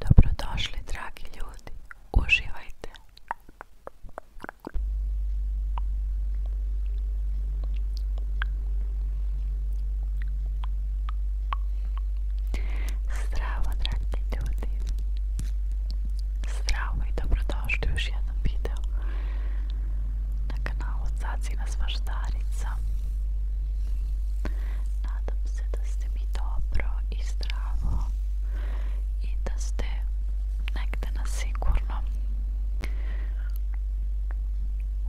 Dobrodošli dragi ljudi, uživajte! Zdravo dragi ljudi! Zdravo i dobrodošli u još jednom videu na kanalu Cacina Svaštarica. Nadam se da ste mi dobro i zdravo i da ste negde na sigurnom.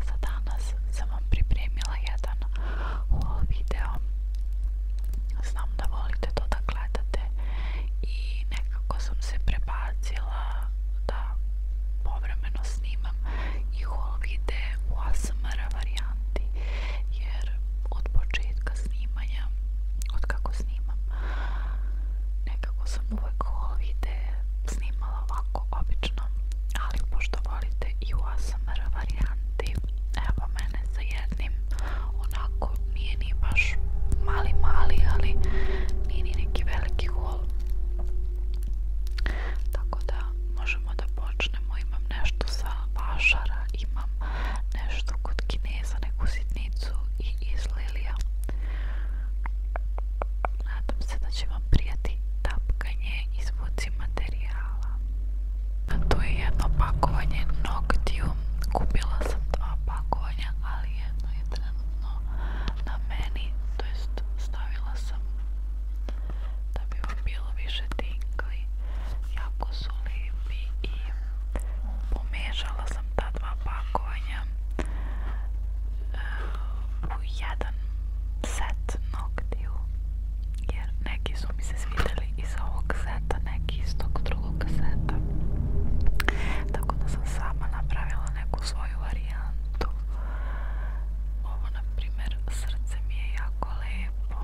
Za danas sam vam pripremila jedan haul video. Znam da volite to da gledate i nekako sam se prebacila da povremeno snimam i haul vide u ASMR varijanti jer od početka snimanja od kako snimam nekako sam uvek ove ideje snimala ovako obično ali pošto volite i u ASMR varijanti evo mene sa jednim onako nije ni baš mali mali ali nije ni neki veliki hol tako da možemo da počnemo počnemo, imam nešto sa vašara, imam nešto kod kineza, neku sitnicu i iz lilija. Nadam se da će vam prijati tapkanje i zvuci materijala. A tu je jedno pakovanje Noctiu, kupila sam dva pakovanja, ali jedno je trenutno na meni, to jest stavila sam da bi vam bilo više tinkli jako su lijepi i pomešala sam ta dva pakovanja uh, u jedan set noktiju jer neki su mi se svidjeli iz ovog seta, neki iz tog drugog seta tako da sam sama napravila neku svoju varijantu ovo na primjer srce mi je jako jako lijepo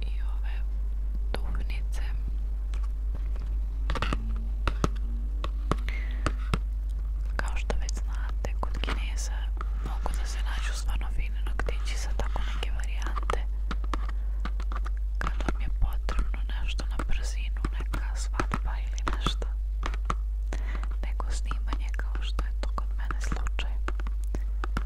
i ove duhnice kao što već znate kod kineza mogu da se nađu stvarno fine noktići sa tako neke varijante kad vam je potrebno nešto na brzinu neka svadba ili nešto nego snimanje kao što je to kod mene slučaj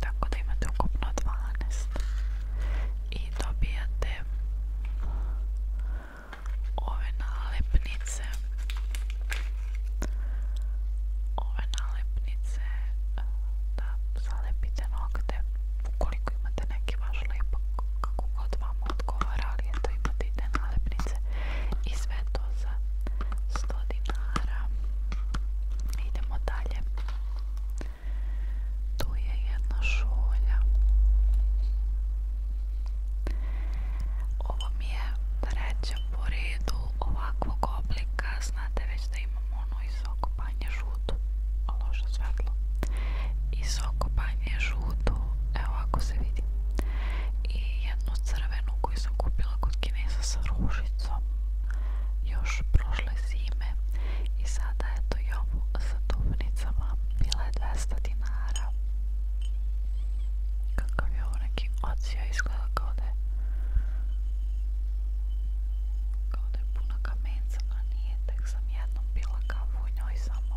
Tako da imate ukupno 12. I dobijate ove nalepnice. Ove nalepnice da zalepite nokte. Ukoliko imate neki vaš lepak, kako god vam odgovara, ali eto imate i te nalepnice. I sve to za 100 dinara. Idemo dalje. Tu je jedna šolja. Ovo mi je treća po redu ovakvog oblika. Znate već da imam ono iz okopanje žutu. Loše svetlo. Iz okopanje žutu. Evo ako se vidi. I jednu crvenu koji sam kupila kod Kinesa sa ružicom još prošle zime i sada eto i ovu sa duvnicama bila je 200 dinara kakav je ovo neki ocija izgleda kao da je kao da je puna kamenca a nije tek sam jednom bila kavu u njoj samo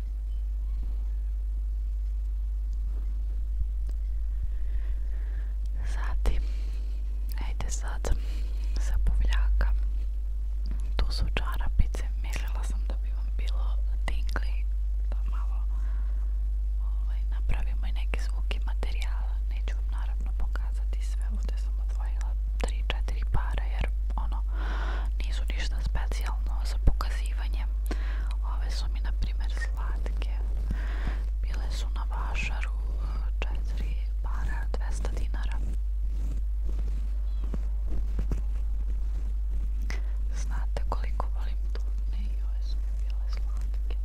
Zatim, ajde sad sa buvljaka. Tu su čarapice, mirila sam da bi vam bilo tingli, pa malo ovaj, napravimo i neke zvuke materijala. Neću vam naravno pokazati sve, ovdje sam odvojila 3-4 para jer ono nisu ništa specijalno za pokazivanje. Ove su mi na primjer slatke. Bile su na vašaru 4 para 200 dinara. Znate koliko volim tutne i ove su mi bile slatke.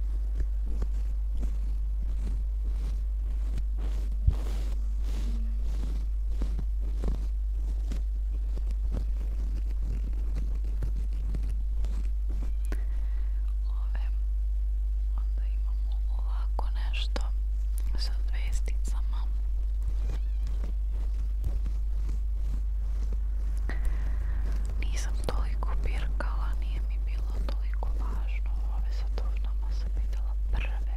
Ove, onda imamo ovako nešto sa zvesticama. Nisam toliko pirkala, nije mi bilo toliko važno. Ove sa tužnama sam vidjela prve.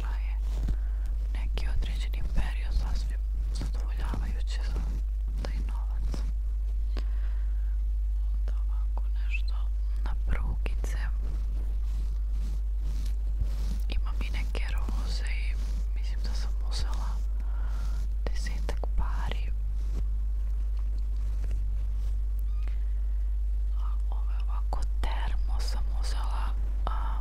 prošla je neki određeni period sasvim zadovoljavajući za taj novac. Onda ovako nešto na prugice. Imam i neke roze i mislim da sam uzela desetak pari. A ove ovako termo sam uzela a,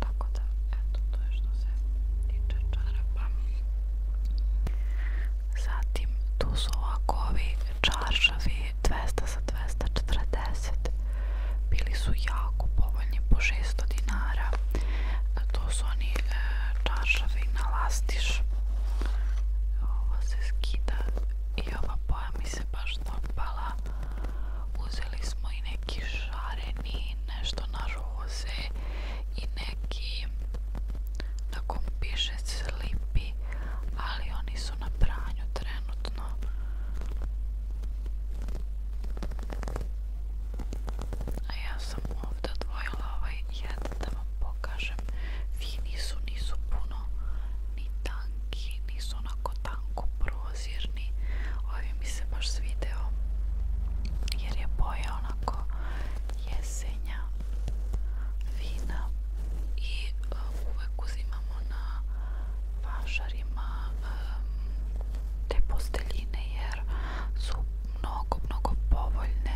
Tako da, eto, to je što se tiče čarapa. Zatim, tu su ovako ovi čaršavi 200 za 240. Bili su jako povoljni po 600 dinara. E, to su oni e, čaršavi na lastiš. Ovo se skida i ova boja mi se baš dopala. Uzeli smo i neki šareni, nešto na roze i neki na kom piše slipi, ali oni su na pranju trenutno. A ja sam ovdje odvojila ovaj jedan da vam pokažem. Fini su, nisu puno ni tanki, nisu onako tanko prozor obozirni ovi mi se baš svideo jer je boja onako jesenja vina i uh, uvek uzimamo na pašarima um, te posteljine jer su mnogo, mnogo povoljne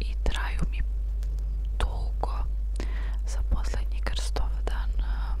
i traju mi dugo za poslednji krstov dan um,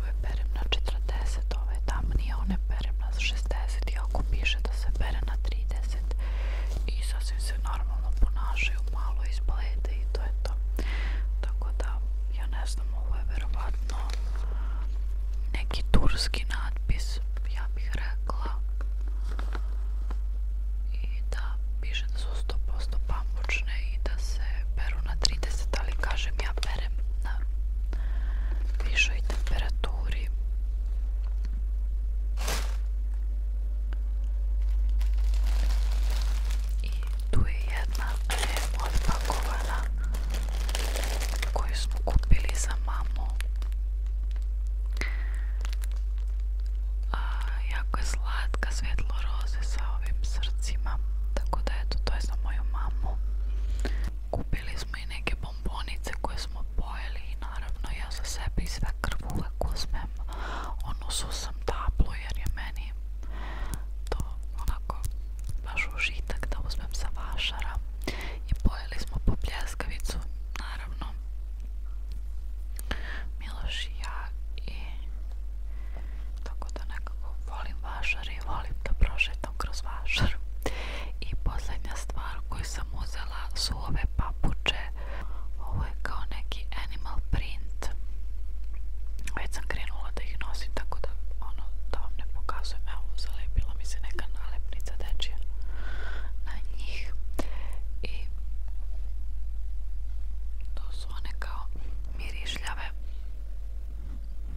ove perem na 40, ove tamnije, one perem na 60, iako piše da se pere na 30 i sasvim se normalno ponašaju, malo izblede i to je to. Tako da, ja ne znam, ovo je verovatno neki turski natpis, ja bih rekla. I da, piše da su 100% pamučne i da se peru na 30, ali kažem ja na da. višoj temperaturi i tu je jedna lijepo odpakovana koju smo kupili za mamu a, jako je slatka svetlo roze sa ovim srcima tako da eto to je za moju mamu kupili smo neke bombonice koje smo naravno ja za sebe i sve krv uvek uzmem onu susam tablu jer je meni to onako baš užitak da uzmem sa vašara i pojeli smo po pljeskavicu naravno Miloš ja i tako da nekako volim vašar volim da prošetam jednom kroz vašar. I posljednja stvar koju sam uzela su ove papuče. Ovo je kao neki animal print. Već sam krenula da ih nosim, tako da ono, da vam ne pokazujem. Evo, zalepila mi se neka nalepnica dečija na njih. I to su one kao mirišljave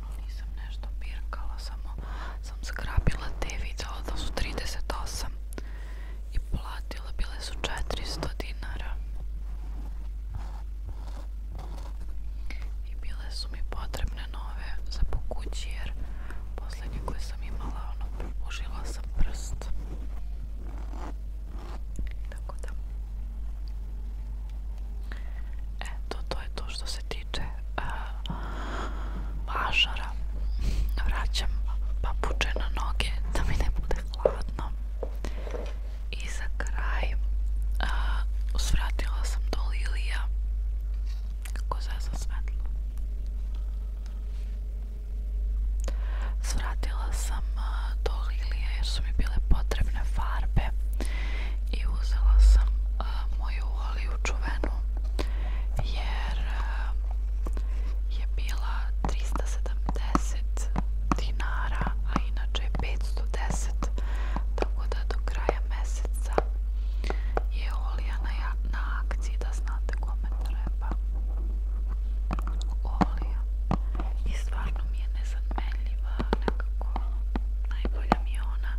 ono, nisam nešto pirkala, samo sam skrapila te vidjela da su 38 i platila, bile su 400 dinara i bile su mi potrebne nove za pokući jer posljednje koje sam imala, ono, užila sam prst tako da Eto, to je to što se tiče uh, mažara. Vraćam papuče na noge da mi ne bude hladno. I za kraj uh, usvratila sam do Lilija kako zazam svetlo. Svratila sam uh, do Lilija jer su mi bile potrebne farbe i uzela sam uh, moju oliju čuvenu jer uh, je bila 370 dinara, a inače je 510 tako da do kraja meseca je olija na, na akciji da znate kome treba olija i stvarno mi je nezamenljiva nekako najbolja mi je ona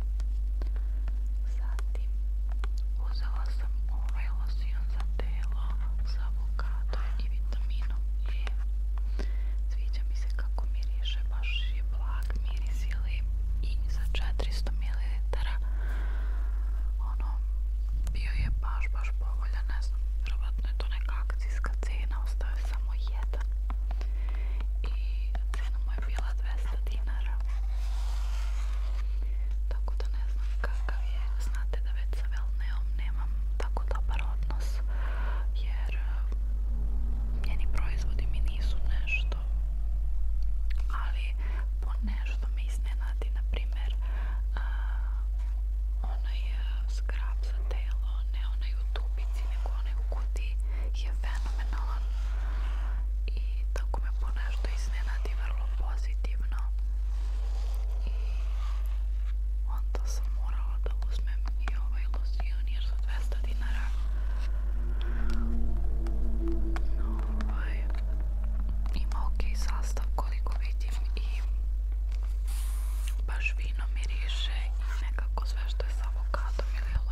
Zatim, uzela sam ovaj losion za telo sa avokado i vitaminom E. Sviđa mi se kako miriše, baš je blag miris ili i za 400 ml. Ono, bio je baš, baš povoljan, ne znam, vjerovatno je to neka akcijska cena, ostaje samo jedan. I cena mu je bila 200 dinara. Tako da ne znam kakav je, znate da već sa Velneom nemam tako dobar odnos, jer eh, njeni proizvodi mi nisu nešto, ali po nešto me iznenadi, na primjer, eh, onaj eh, skrab za telo, ne onaj u tubici, nego onaj u kutiji сати е феноменален и тако ме понешто изненади врло позитивно и онда сам морала да узмем и овај лосионер за 200 динара но овај има окей састав колико видим и баш вино мирише некако све што или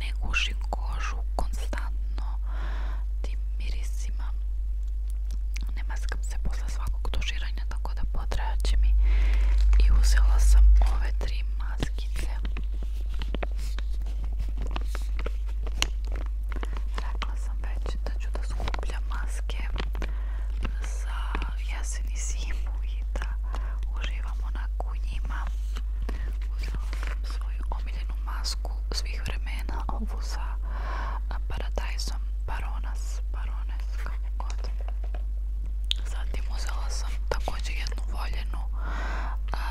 ne guši kožu konstantno tim mirisima ne maskam se posle svakog tuširanja tako da potrajaće mi i uzela sam ove tri maskice rekla sam već da ću da skupljam maske za jesen i zimu i da uživam onako u njima uzela sam svoju omiljenu masku masku svih vremena, ovu sa paradajzom Baronas, Barones, kako god. Zatim uzela sam također jednu voljenu a,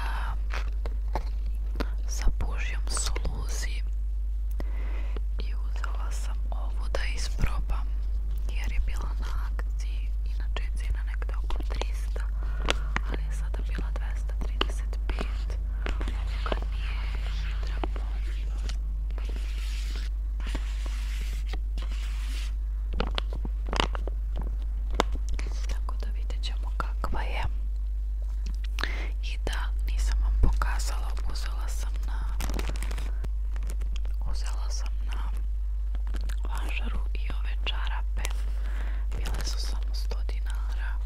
sa bužjom soluzi i uzela sam ovu da isprobam jer je bila na akciji, inače je cijena nekde oko 300 ali je sada bila 235 kad mi je hidra pomila tako da vidjet ćemo kakva je i da nisam vam pokazala uzela sam na uzela sam na važaru i ove čarape bile su samo 100 dinara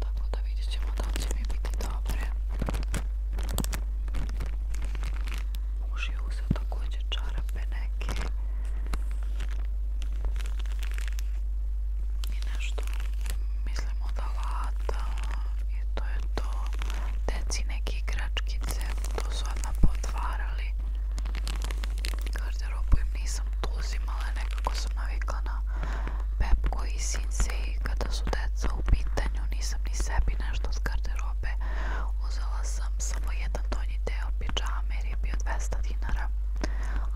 tako da vidjet ćemo da li će mi biti dobre. Muž je uzeo također čarape neke i nešto mislim od alata i to je to. Deci neke igračkice, to su odmah potvarali. Kar garderobu im nisam uzimala, nekako sam navikla na Pepko i Sinse i kada su deca u pitanju nisam ni sebi nešto od garderobe uzela sam samo jedan donji deo piđame jer je bio 200 dinara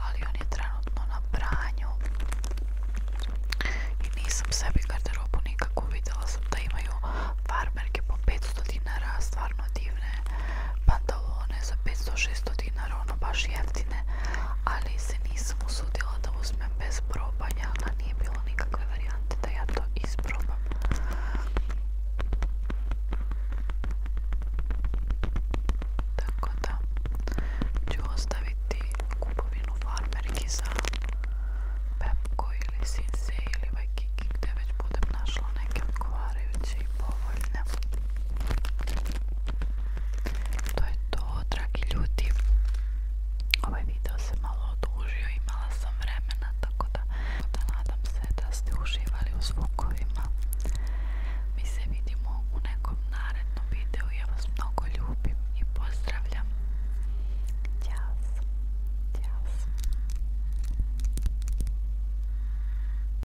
ali on je trenutno na branju i nisam sebi garderobu nikako videla sam da imaju farmerke po 500 dinara stvarno divne pa talone za 500-600 dinara, ono baš jeftine, ali se nisam usudila da uzmem bez probanja, a nije bilo nikakve varijante da ja to isprobam. Tako da ću ostaviti kupovinu farmerki za Pepko ili Sinsei ili Waikiki gdje već budem našla neke odgovarajuće i povoljne. To je to, dragi ljudi. Ovaj video se malo odužio, imala sam vremena, tako da, da nadam se da ste uživali u zvukovima. Mi se vidimo u nekom narednom videu. Ja vas mnogo ljubim i pozdravljam. Ćao. Ćao.